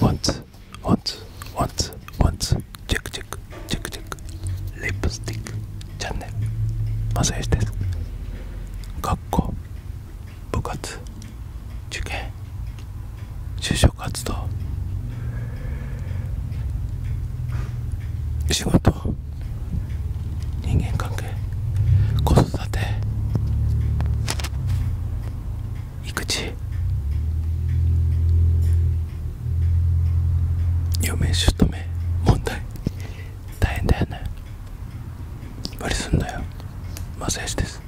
ワンツワンツワンツワンツチェックチェックチェックチェックリップスティックチャンネルマサヨシです学校部活受験就職活動仕事人間関係子子育て育児嫁姑問題大変だよね無りすんなよマセージです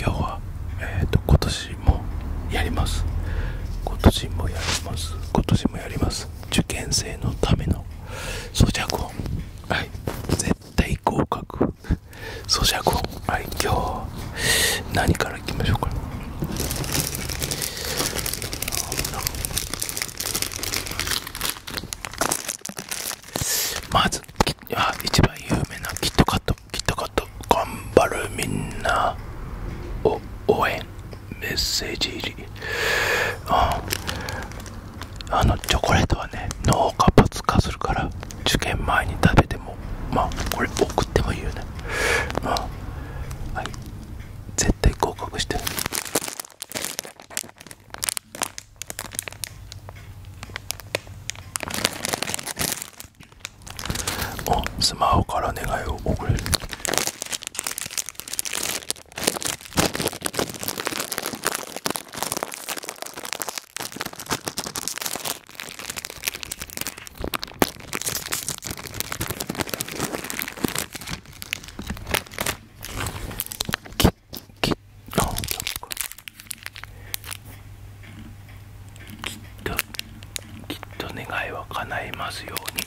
今日はえっ、と今年もやります今年もやります今年もやります受験生のための装着音はい絶対合格咀嚼音はい今日何からいきましょうかまずあ一番有名なキットカットキットカット頑張るみんなを応援メッセージ入りああのチョコレートはね脳活発化するから受験前に食べてもまあこれ送ってもいいよねまあはい絶対合格してるおスマホから願いを送れるきっと願いは叶いますように。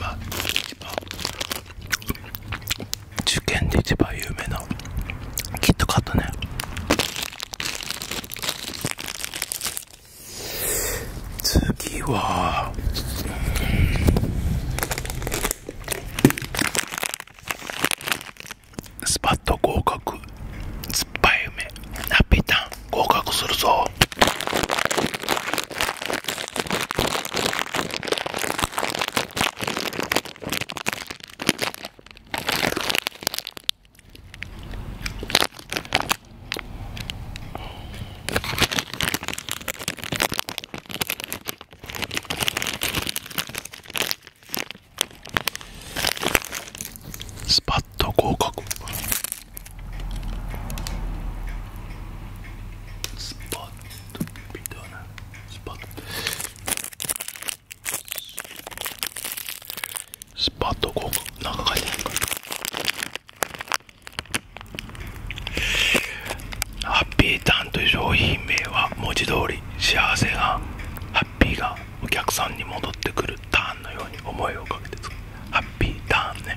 まあ一番受験で一番有名なキットカットね次はスパッと合格酸っぱい梅ハピータン合格するぞスパッと合格スパット微動なスポットスパッとこうなんか書いてないかハッピーターンという商品名は文字通り幸せがハッピーがお客さんに戻ってくるターンのように思いをかけて作るハッピーターンね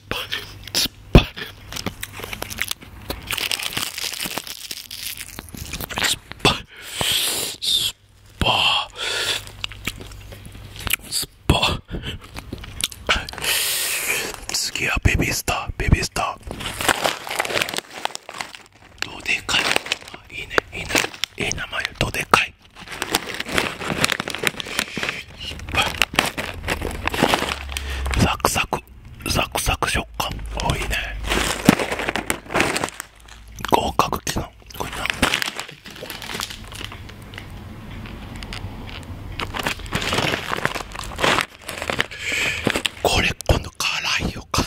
すっぱすっぱすっぱすっぱ次はベビースターベビースターどでかいいいねいいねいい名前どでかいサクサクサクサク食感多いいね合格機能これなこれ今度辛いよ辛い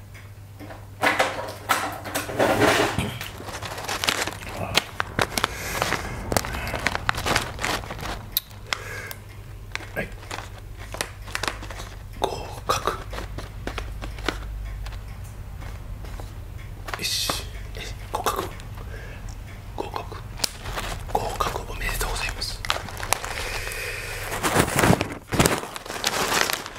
はい合格よし合格合格合格おめでとうございます合格 は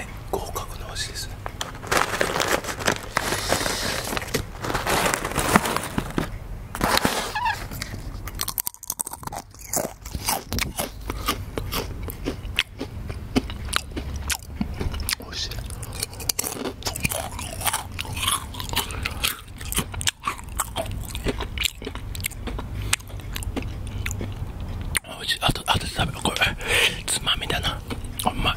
い合格の味ですねあと、あと食べ、これ、つまみだな。うまい。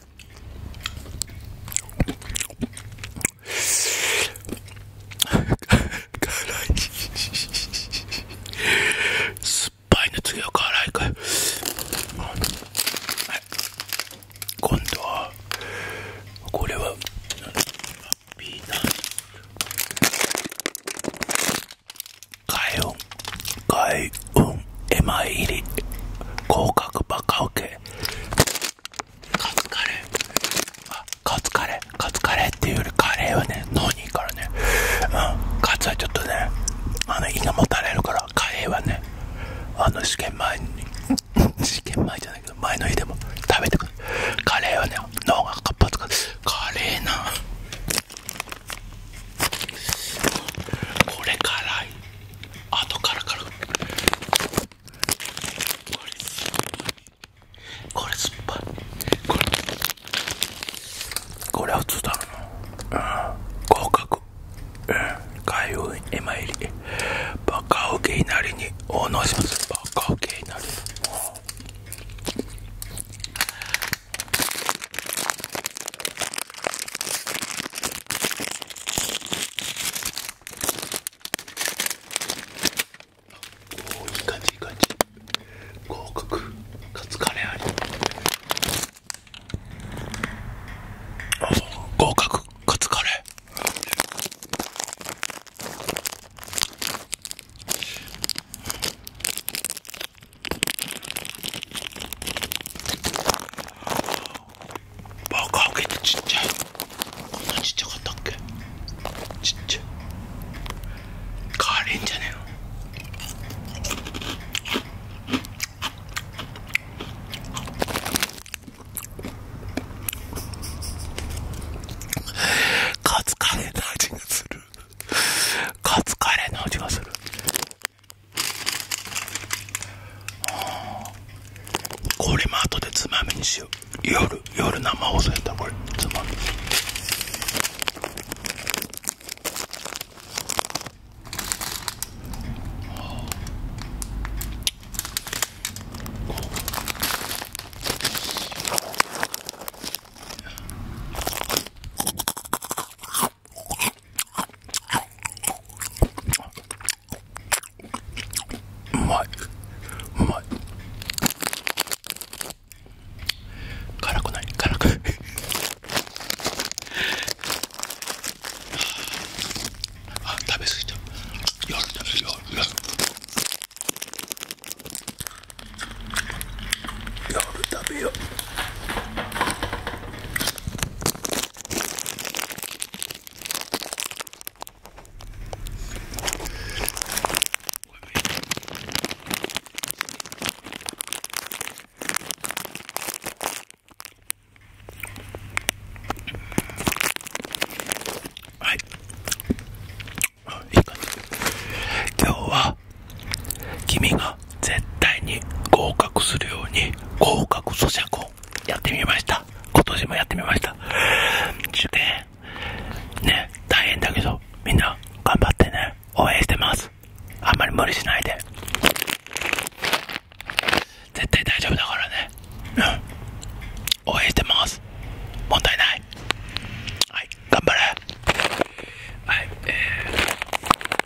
酸っぱいの次は辛いかい、今度はこれはピーナッツカヨン開運絵前入り合格バカウケカツカレーあカツカレーカツカレーっていうよりカレーはね脳にいいからねうんカツはちょっとねあの胃がもたれるからカレーはねあの試験前に 試験前じゃないけど前の日でも食べてくるカレーはね脳が活発化カレーなこれ辛いあとからからこれ酸っぱいこれこれは普通だろうん合格開運へ参りバカウケなりにお能しますバカウケなりにおいい感じいい感じ合格カツカレーあり合格カツカレーあ。バカオケでちっちゃいこんなちっちゃかったっけちっちゃいカレーんじゃねえのカツカレーの味がするカツカレーの味がするあこれも後でつまみにしよう夜夜生放送やったこれつまみあうまいうまい辛くない辛くないあ食べ過ぎた夜食べよ。夜夜夜食べようはいいい感じ今日は君が絶対に合格するように合格咀嚼音やってみました。今年もやってみました。で、ね、大変だけど、みんな頑張ってね、応援してます。あんまり無理しないで。絶対大丈夫だからね。うん。応援してます。問題ない。はい、頑張れ。はい、え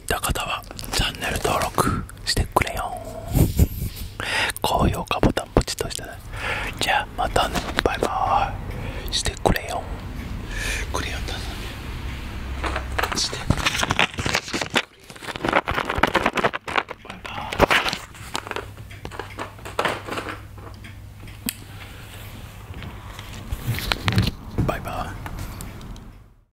に入った方はチャンネル登録してくれよ高評価ボタンポチッとしてねじゃあまたねバイバーイしてくれよクレヨンだなしてバイバーイバイバイ